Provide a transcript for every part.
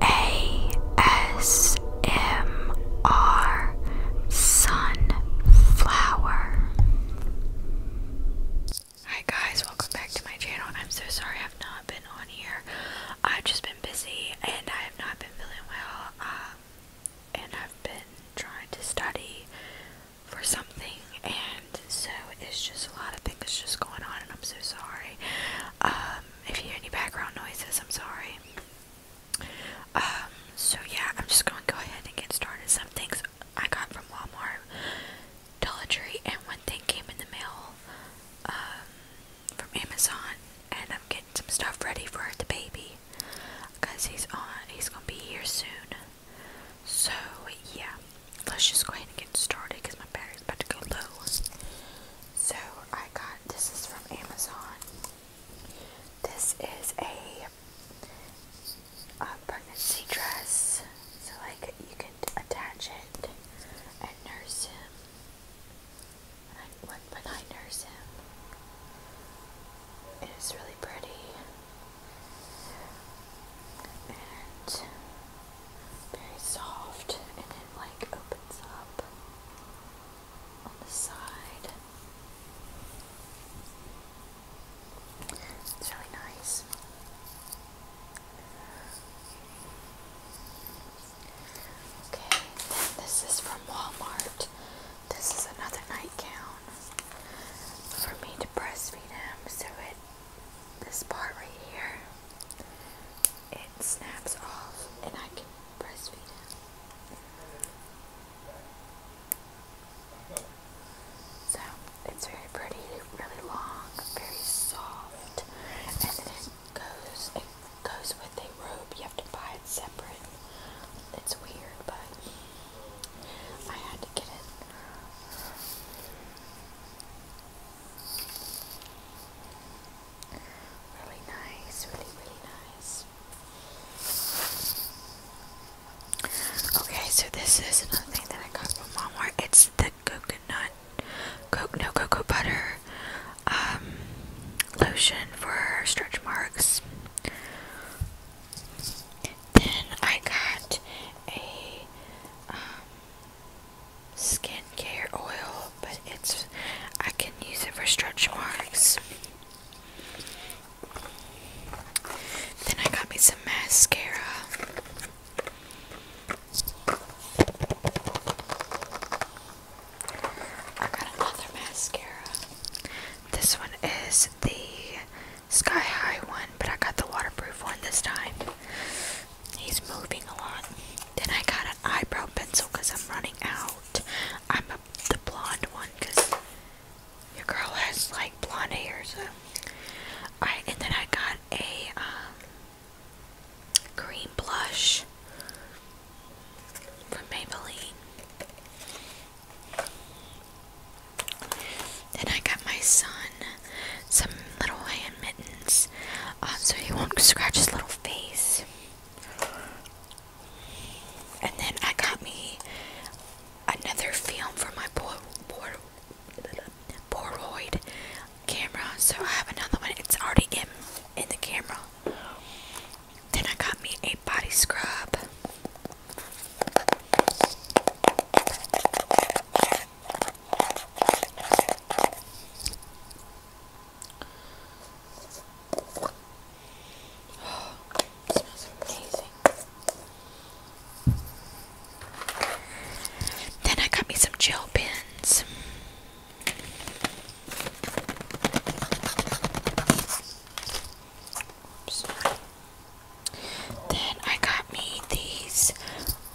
ASMR Sunflower. Hi guys, welcome back to my channel. I'm so sorry I've not been on here. I've just been busy and I have not been feeling well. Um, and I've been trying to study for something, and so it's just a lot of things just going on, and I'm so sorry. Um, if you hear any background noises, I'm sorry. Um, so yeah, I'm just gonna go ahead and get started. Some things I got from Walmart, Dollar Tree, and one thing came in the mail, um, from Amazon, and I'm getting some stuff ready for the baby, cause he's on, he's gonna be here soon. So yeah, let's just go ahead and get started because my battery's about to go low. So I got this is from Amazon. This is a, pregnancy dress. So like you can attach it and nurse him. And I I nurse him. It is really pretty. And very soft and it like opens up on the side. It's really nice. Okay, then this is from Walmart. This is another nightgown for me to breastfeed him, so it this part right here, it snaps off and I can breastfeed him. So it's very pretty, really long, very soft, and then it goes, it goes with a robe. You have to buy it separate. It's weird, but I had to get it. Really nice, really, really nice. Okay, so this is another thing that I got from Walmart. It's the coconut, coke, no cocoa butter, um, lotion for stretch marks. Then I got a um, skincare oil, but it's I can use it for stretch marks. Then I got me some mascara. I got another mascara. This one is the Sky High one, but I got the waterproof one this time. He's moving a lot. Then I got an eyebrow pencil because I'm running out. I'm a, the blonde one because your girl has like blonde hair. So. Alright, and then I got a um, green blush from Maybelline. Then I got my son some little hand mittens um, so he won't scratch his little face. And then I got me another film for my poor, pooroid camera. So I have another one. It's already in, in the camera. Then I got me a body scrub. Then I got me some gel pens. Oops. Then I got me these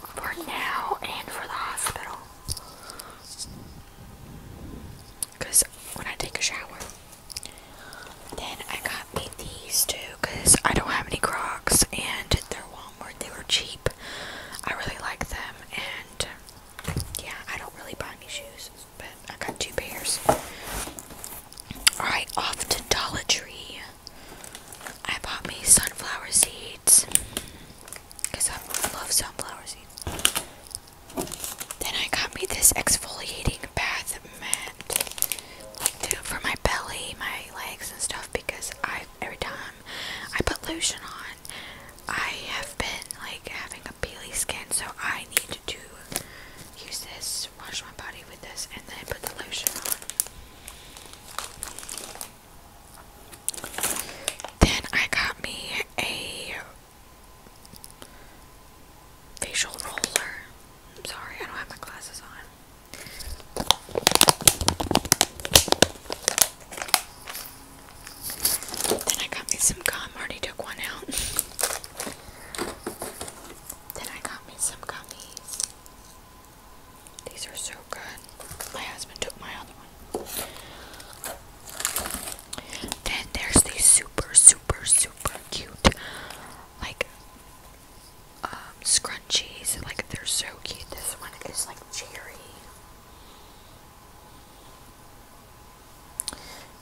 for now and for the hospital. Because when I take a shower. Then I got me these too because I don't have any Crocs and they're Walmart. They were cheap. I really like them and yeah, I don't really buy any shoes, but I got two pairs. Alright, off to Dollar Tree. I bought me sunflower seeds because I love sunflower seeds. Then I got me this exfoliating bath mat for my belly, my legs, and stuff because I every time I put lotion on, I have been like having a peely skin, so I need to use this, wash my body with this, and then put the lotion on. Then I got me a facial roller. I'm sorry, I don't have my glasses on. Then I got me some gum. Already took one out. then I got me some gummies. These are so good. My husband took my other one. Then there's these super, super, super cute, like, um, scrunchies. Like, they're so cute. This one is like cherry.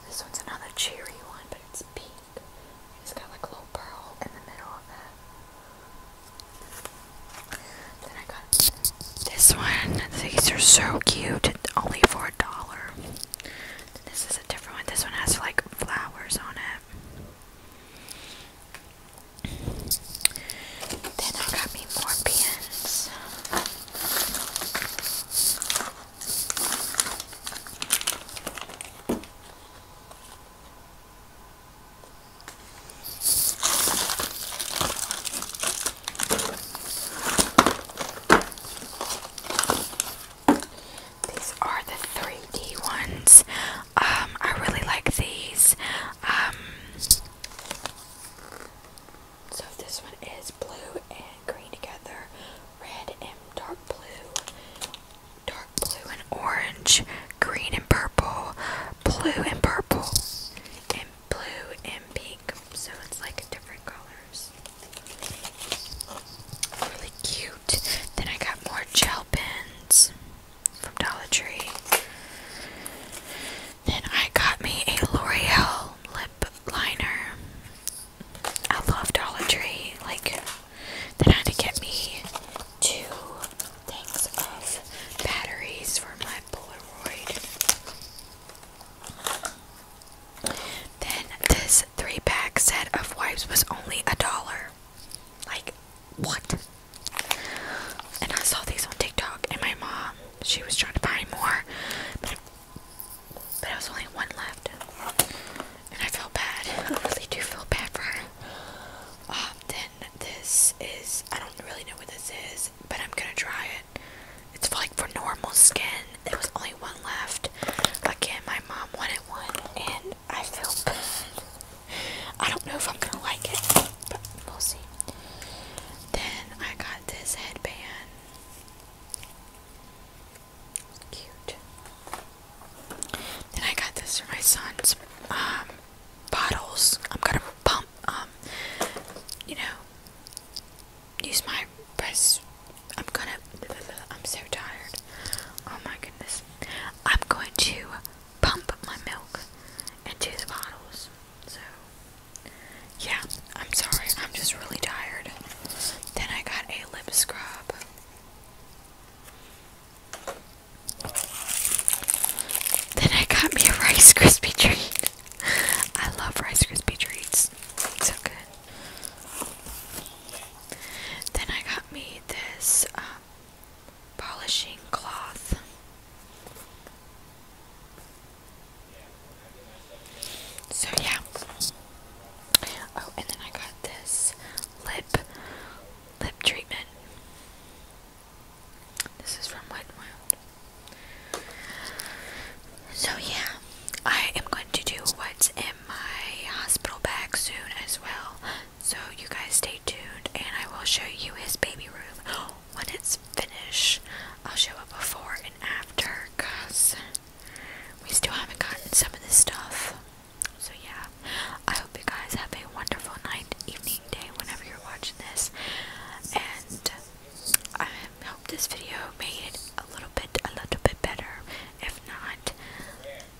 This one's another cherry one but it's pink. It's got like a little pearl in the middle of it. Then I got this one. These are so cute. Only for a dollar. This is a different one. This one has like flowers on it. Then I got me more pins. These are the 3D ones. Um, I really like these. Um, so this one is blue and green together red and dark blue, dark blue and orange, green and purple, blue and purple, and blue and pink. So it's like different colors. Really cute. Then I got more gel pens from Dollar Tree. Then I got me a L'Oreal lip liner. I love Dollar Tree. Like, they had to get me two packs of batteries for my Polaroid. Then this three pack set of wipes was only a dollar. Like, what? And I saw these on TikTok, and my mom, she was trying to buy more, but, but there was only one left and I feel bad. I really do feel bad for her. Um, then this is, I don't really know what this is, but I'm gonna try it. It's for, like for normal skin. There was only one left. Again, my mom wanted one, and I feel bad. I don't know if I'm gonna like it, but we'll see. Then I got this headband. Cute. Then I got this for my son's um, bottles. I'm gonna pump, um, you know, use my press. I'm gonna. I'm so tired. Oh my goodness. I'm going to pump my milk into the bottles. So, yeah, I'm sorry. I'm just really tired. Then I got a lip scrub. Then I got me a Rice Krispie treat. I love Rice Krispie treats. so good. Then I got me this um, polishing cloth. So yeah. Oh, and then I got this lip lip treatment. This is from Wet n Wild. So yeah, I am going to do what's in my hospital bag soon as well. So you guys stay tuned, and I will show you his baby room when it's finished. I'll show a before and after, cause we still haven't gotten some of this stuff. So, yeah. I hope you guys have a wonderful night, evening, day, whenever you're watching this. And I hope this video made it a little bit, a little bit better. If not,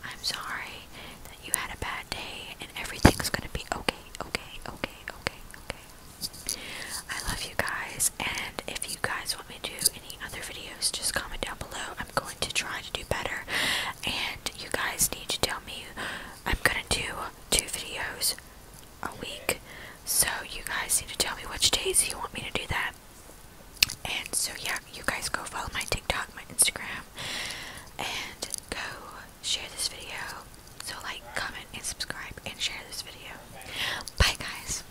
I'm sorry that you had a bad day and everything's gonna be okay, okay, okay, okay, okay. I love you guys, and if you guys want me to other videos, just comment down below. I'm going to try to do better, and you guys need to tell me. I'm gonna do two videos a week, so you guys need to tell me which days you want me to do that. And so, yeah, you guys go follow my TikTok, my Instagram, and go share this video. So, like, comment, and subscribe, and share this video. Bye, guys.